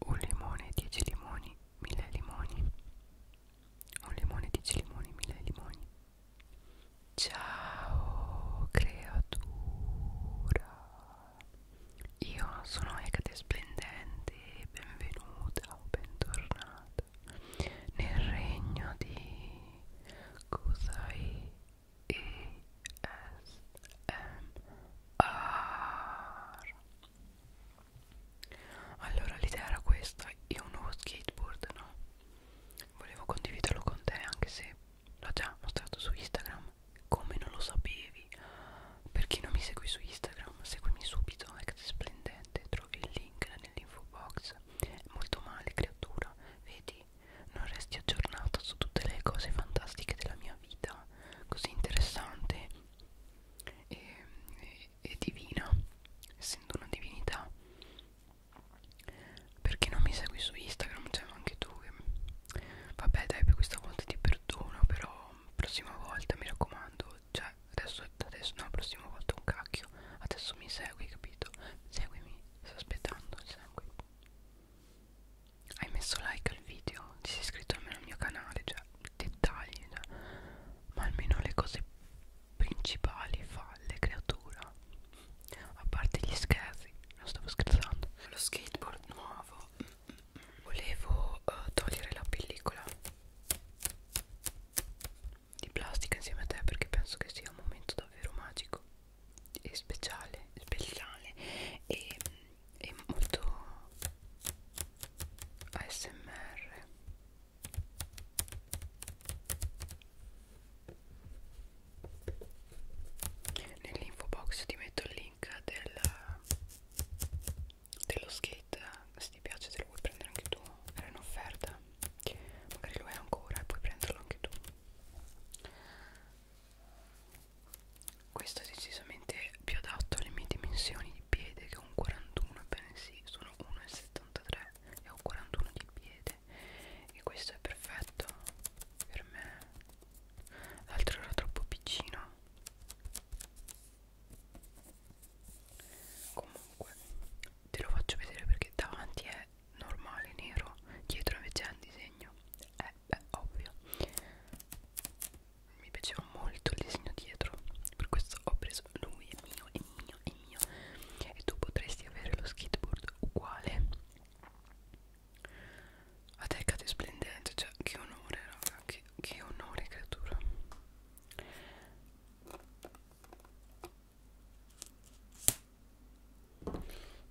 un limone 10 limoni 1000 limoni un limone 10 limoni 1000 limoni ciao creatura io sono Ecate Splendente benvenuta o bentornata nel regno di Kusai e ASMR Allora l'idea era questa Io ho un nuovo skateboard no? Volevo condividerlo con te anche se l'ho già mostrato su Instagram Come non lo sapevi Per chi non mi segui su Instagram Seguimi subito è splendente Trovi il link nell'info box È molto male creatura Vedi non resti aggiornato su tutte le cose fantastiche della mia vita così interessante e, e, e divina, essendo una divinità. Perché non mi segui su Instagram? Cioè, anche tu. Che... Vabbè, dai, per questa volta ti perdono, però prossima volta mi raccomando. Cioè, adesso, adesso no, prossima volta un cacchio. Adesso mi segui, capito? Seguimi, sto aspettando, segui hai messo like al video ti sei iscritto almeno al mio canale cioè dettagli cioè. ma almeno le cose principali falle creatura a parte gli scherzi non stavo scherzando lo skateboard nuovo volevo uh, togliere la pellicola di plastica insieme a te perché penso che sia un momento davvero magico e speciale speciale e è molto ASMR nell'info box ti metto il link del, dello skate se ti piace te lo puoi prendere anche tu era in offerta magari lo è ancora e puoi prenderlo anche tu questo è decisamente più adatto alle mie dimensioni di piede che un 41 ebbene sì sono 1,73 e ho 41 di piede e questo è perfetto per me l'altro era troppo piccino comunque te lo faccio vedere perché davanti è normale nero dietro invece è un disegno è eh beh ovvio mi piaceva molto il disegno dietro per questo ho preso lui è mio è mio è mio e tu potresti avere lo skateboard uguale a te cade splendente cioè che onore raga che, che onore creatura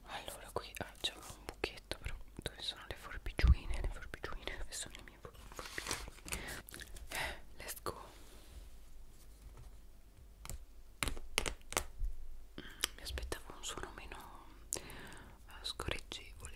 allora qui ah, c'è un buchetto però dove sono le forbiciuine, le forbiciuine, dove sono le mie forbiciuine? Eh, let's go. Mm, mi aspettavo un suono meno uh, scorreggevole.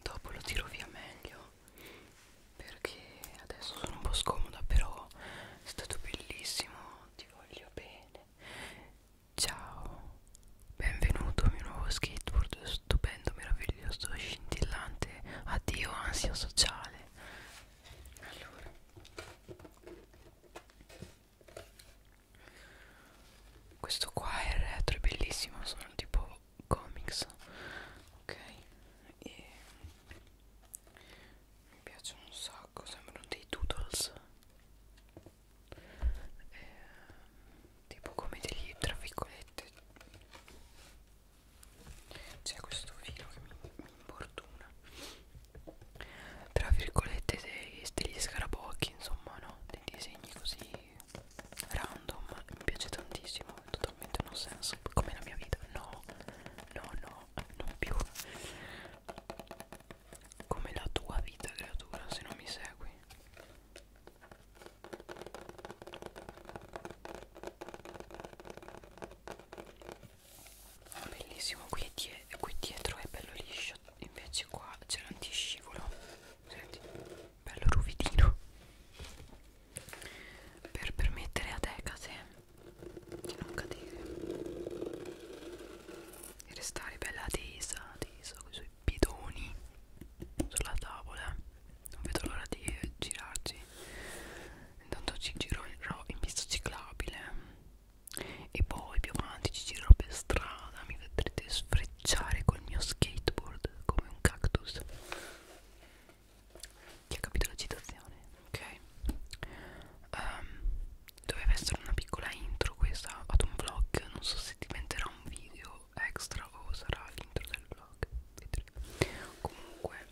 Dopo lo tiro via meglio perché adesso sono un po' scomoda però è stato bellissimo ti voglio bene ciao benvenuto a mio nuovo skateboard stupendo meraviglioso scintillante addio ansia sociale allora questo qua è il retro è bellissimo sono tipo comics ok e mi piacciono un sacco sembrano dei doodles eh, tipo come degli tra virgolette c'è questo filo che mi, mi importuna tra virgolette dei, degli scarabocchi insomma no dei disegni così random mi piace tantissimo totalmente non senso come la mia vita no no no non più come la tua vita creatura se non mi segui ah, bellissimo qui, die qui dietro è bello liscio invece qua c'è l'antiscivolo senti bello ruvidino per permettere ad Ecate di non cadere e restare bella tesa, tesa con i suoi bidoni sulla tavola. Non vedo l'ora di girarci. Intanto ci girerò in pista ciclabile e poi più avanti ci girerò per strada. Mi vedrete sfrecciare col mio skateboard come un cactus. Chi ha capito la citazione? Ok um, Doveva essere una piccola intro questa ad un vlog Non so se diventerà un video extra o sarà l'intro del vlog Vedremo Comunque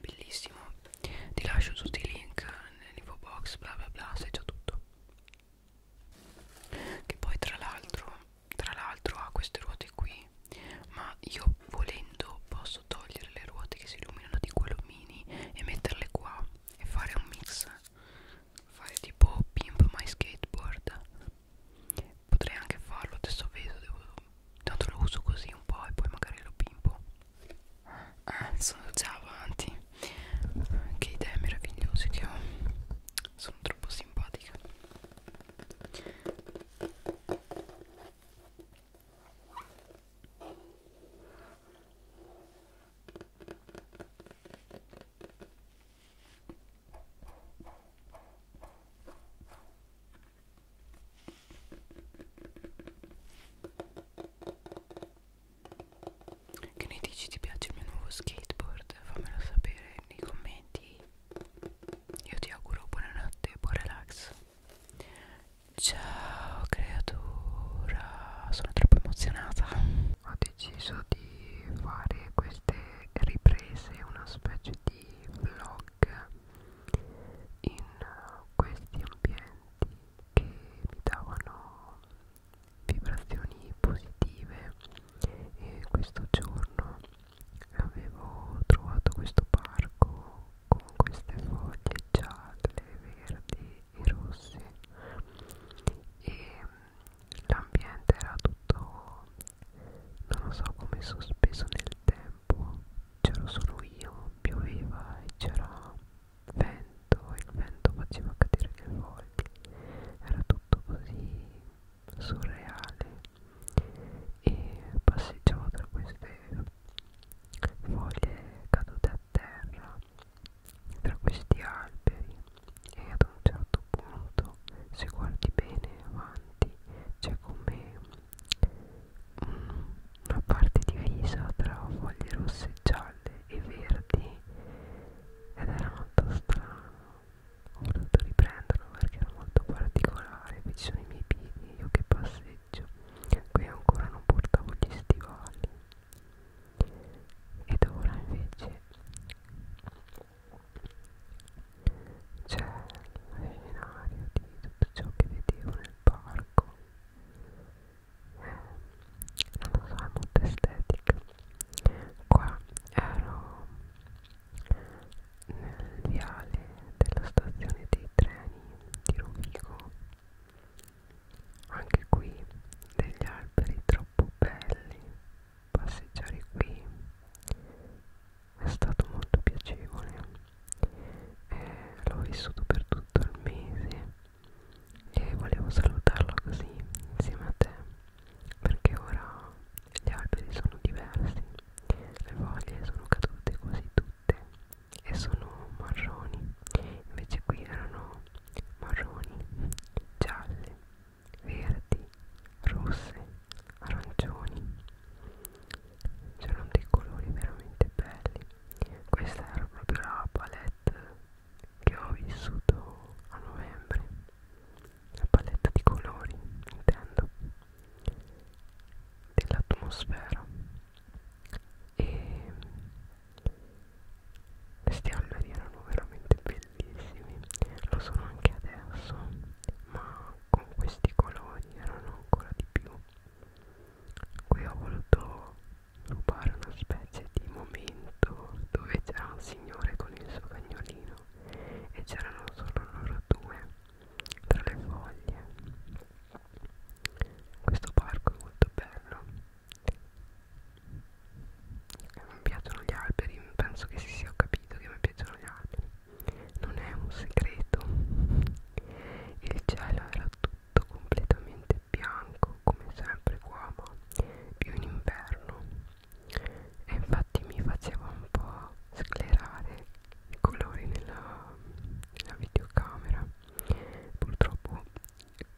Bellissimo Ti lascio tutti i link nell'info box bla bla bla Sai già tutto Che poi tra l'altro Tra l'altro ha queste ruote qui ma io volendo posso togliere le ruote che si illuminano di quello mini e metterle qua e fare un mix fare tipo pimp my skateboard potrei anche farlo adesso vedo devo, tanto lo uso così un po' e poi magari lo pimpo ah, sono già avanti che idee meravigliose che ho sono troppo simpatica che ne dici? Ti piace il mio nuovo skateboard? Fammelo sapere nei commenti io ti auguro buonanotte e buon relax. Ciao creatura, sono troppo emozionata. Ho deciso di fare queste riprese, una specie di vlog in questi ambienti che mi davano vibrazioni positive e questo giorno avevo trovato questo parco con queste foglie gialle, verdi e rosse e mm, l'ambiente era tutto non lo so come sospeso nel tempo c'ero solo io pioveva e c'era vento e il vento faceva cadere le foglie era tutto così surreale e passeggiavo diciamo, tra queste foglie cadute a terra tra questi alberi e ad un certo punto se guardi bene avanti c'è come una parte divisa tra foglie rosse gialle e verdi ed era molto strano ho dovuto riprenderlo perché era molto particolare vicino ai miei piedi io che passeggio qui ancora non portavo gli stivali ed ora invece c'è lo scenario di tutto ciò che vedevo nel parco eh, non lo so è molto estetica qua ero nel viale della stazione dei treni di Rovigo anche qui degli alberi troppo belli passeggiare qui è stato molto piacevole eh, l'ho vissuto per tutto il mese e volevo salutarlo così insieme a te perché ora gli alberi sono diversi le foglie sono cadute quasi tutte e sono marroni invece qui erano marroni gialle verdi rosse arancioni c'erano dei colori veramente belli questa era proprio la palette che ho vissuto a novembre la paletta di colori intendo dell'atmosfera e questi alberi erano veramente bellissimi lo sono anche adesso ma con questi colori erano ancora di più qui ho voluto rubare una specie di momento dove c'era un signore con il suo cagnolino e c'erano solo loro due tra le foglie questo parco è molto bello e mi piacciono gli alberi penso che si sia capito che mi piacciono gli alberi non è un segreto il cielo era tutto completamente bianco come sempre qua ma più in inverno e infatti mi faceva un po' sclerare i colori nella, nella videocamera purtroppo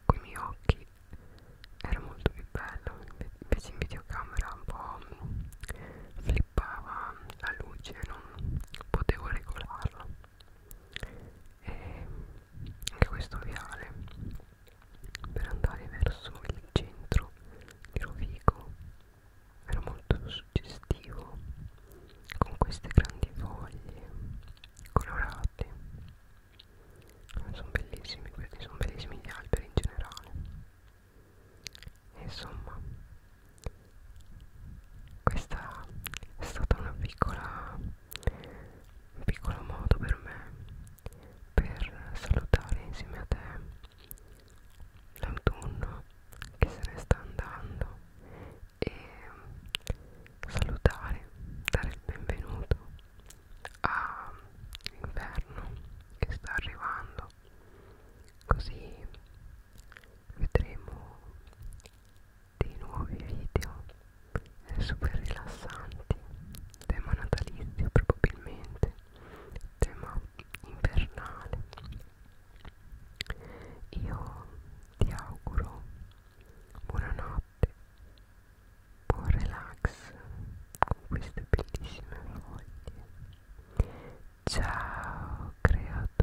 con i miei occhi era molto più bello invece in videocamera un po' flippava la luce non potevo regolarla e anche questo viale per andare verso il centro di Rovigo era molto suggestivo con queste grandi foglie colorate sono bellissimi questi sono bellissimi gli alberi in generale e insomma questa è stata una piccola un piccolo modo per me per salutare insieme a te l'autunno che se ne sta andando e salutare, dare il benvenuto all'inverno che sta arrivando così vedremo dei nuovi video super rilassanti tema natalizio probabilmente tema invernale io ti auguro buonanotte buon relax con queste bellissime foglie ciao creatura